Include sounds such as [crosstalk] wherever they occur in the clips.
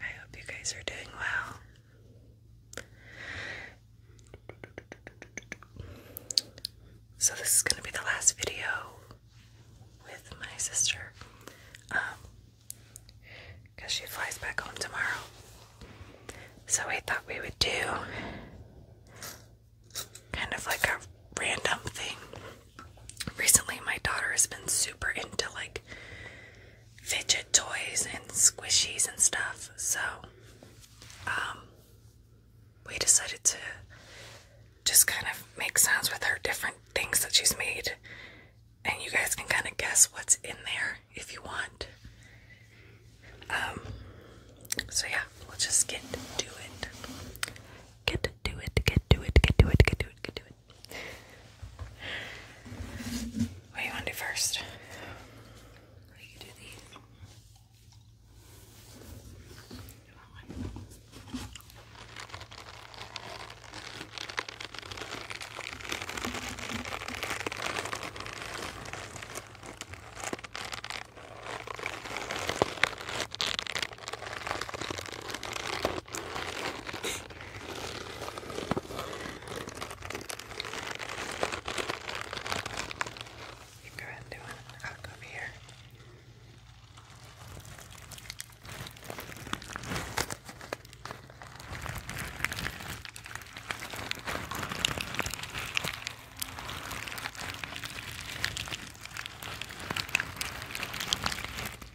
I hope you guys are doing well. So, this is going to be the last video with my sister. Um, because she flies back home tomorrow. So, we thought we would do kind of like a random thing. Recently, my daughter has been super into like fidget toys and squishies and stuff. So, um, we decided to just kind of make sounds with her different things that she's made. And you guys can kind of guess what's in there if you want. Um, so yeah, we'll just get to it. Get to it, get to it, get to it, get to it, get to it. What do you want to do first? You go ahead and do it. I'll go over here.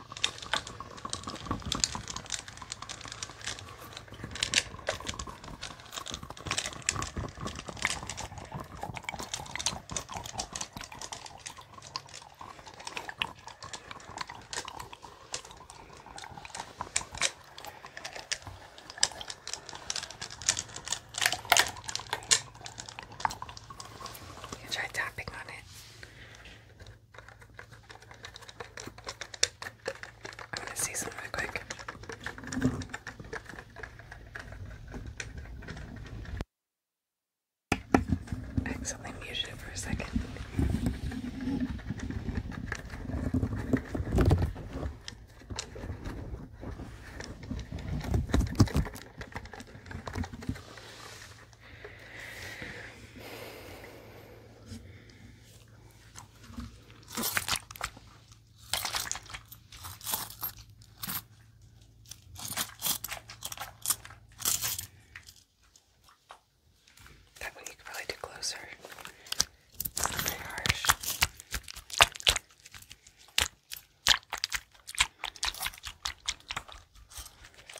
You can try tapping on it. I'm gonna see some really quick. I accidentally it for a second. That one you could probably do closer. very harsh.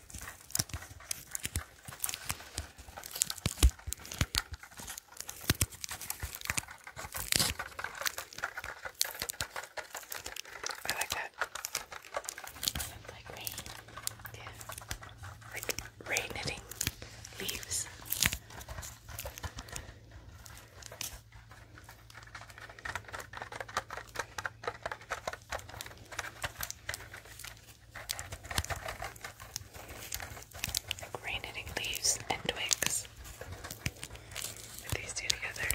I like that. Like rain. Yeah. Like rain knitting leaves. Like leaves and twigs. these two together.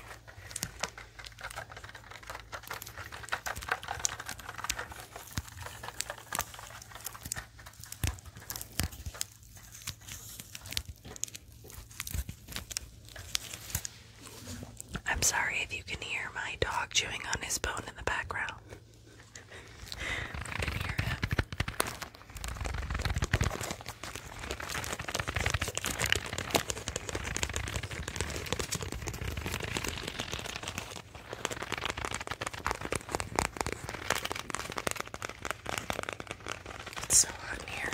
I'm sorry if you can hear my dog chewing on his bone in the background. I can hear him. It's so hot in here.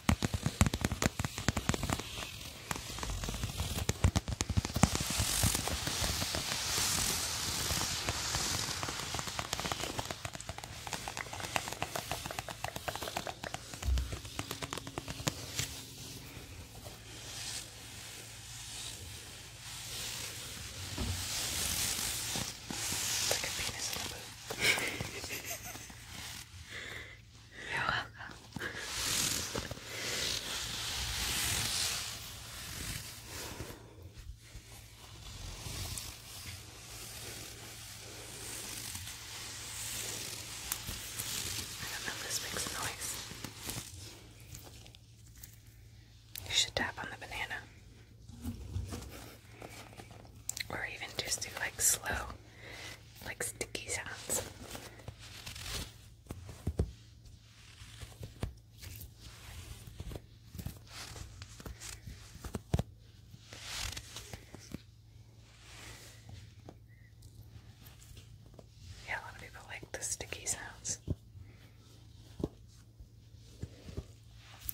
It's like a penis in a boot. [laughs] You're welcome. I don't know if this makes noise. You should tap on the banana. Or even just do like slow like sticky sounds. Yeah, a lot of people like the sticky sounds.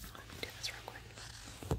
Let me do this real quick.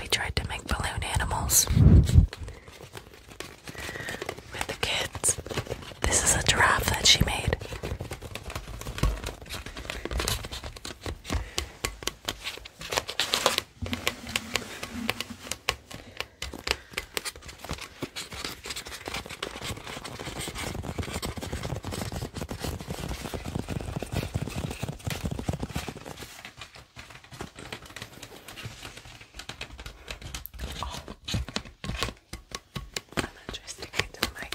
We tried to make balloon animals with the kids. This is a giraffe that she made. Oh. I'm not trying to get the mic.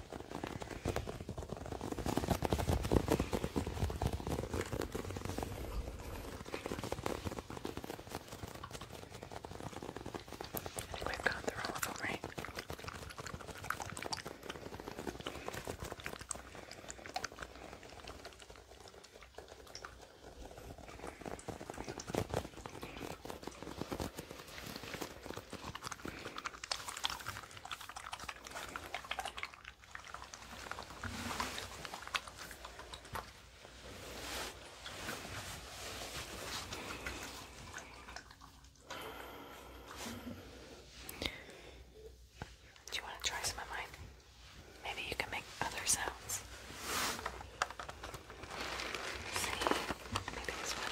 I think we've gone through all of them, right? Do you want to try some of Maybe you can make other sounds. see, maybe this one.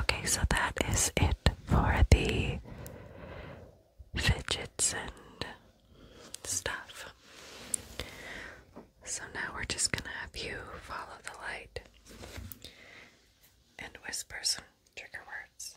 Okay, so that is it for the fidgets and stuff. So now we're just gonna have you follow the light and whisper some trigger words.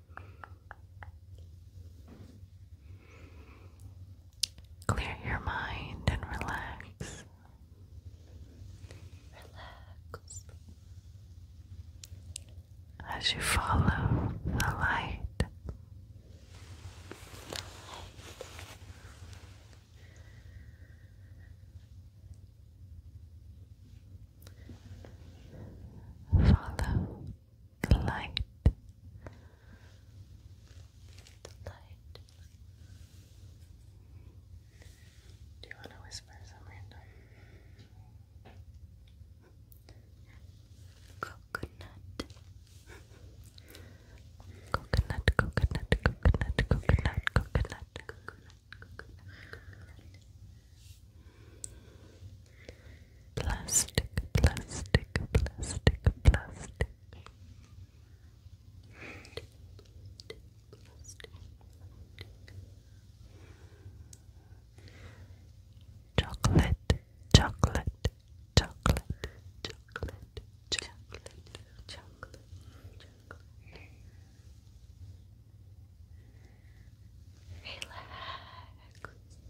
Clear your mind and relax. Relax. As you follow the light. Follow the light, the light. Do you want to whisper some coconut, coconut, coconut, coconut, coconut, coconut, coconut, coconut. Plastic, plastic, plastic, plastic. Chocolate, chocolate, chocolate, chocolate, chocolate, chocolate, chocolate. Relax.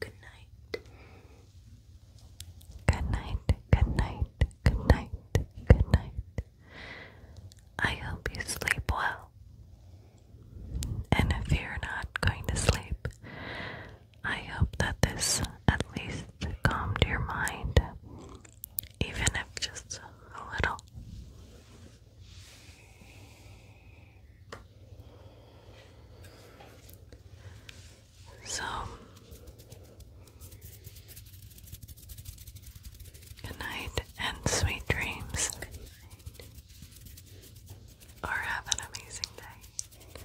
Good night. Good night. Good night. Good night. Good night. I hope you sleep well. And if you're not going to sleep, I hope that this at least calmed your mind, even if just a little. So, good night and sweet dreams. Or have an amazing day.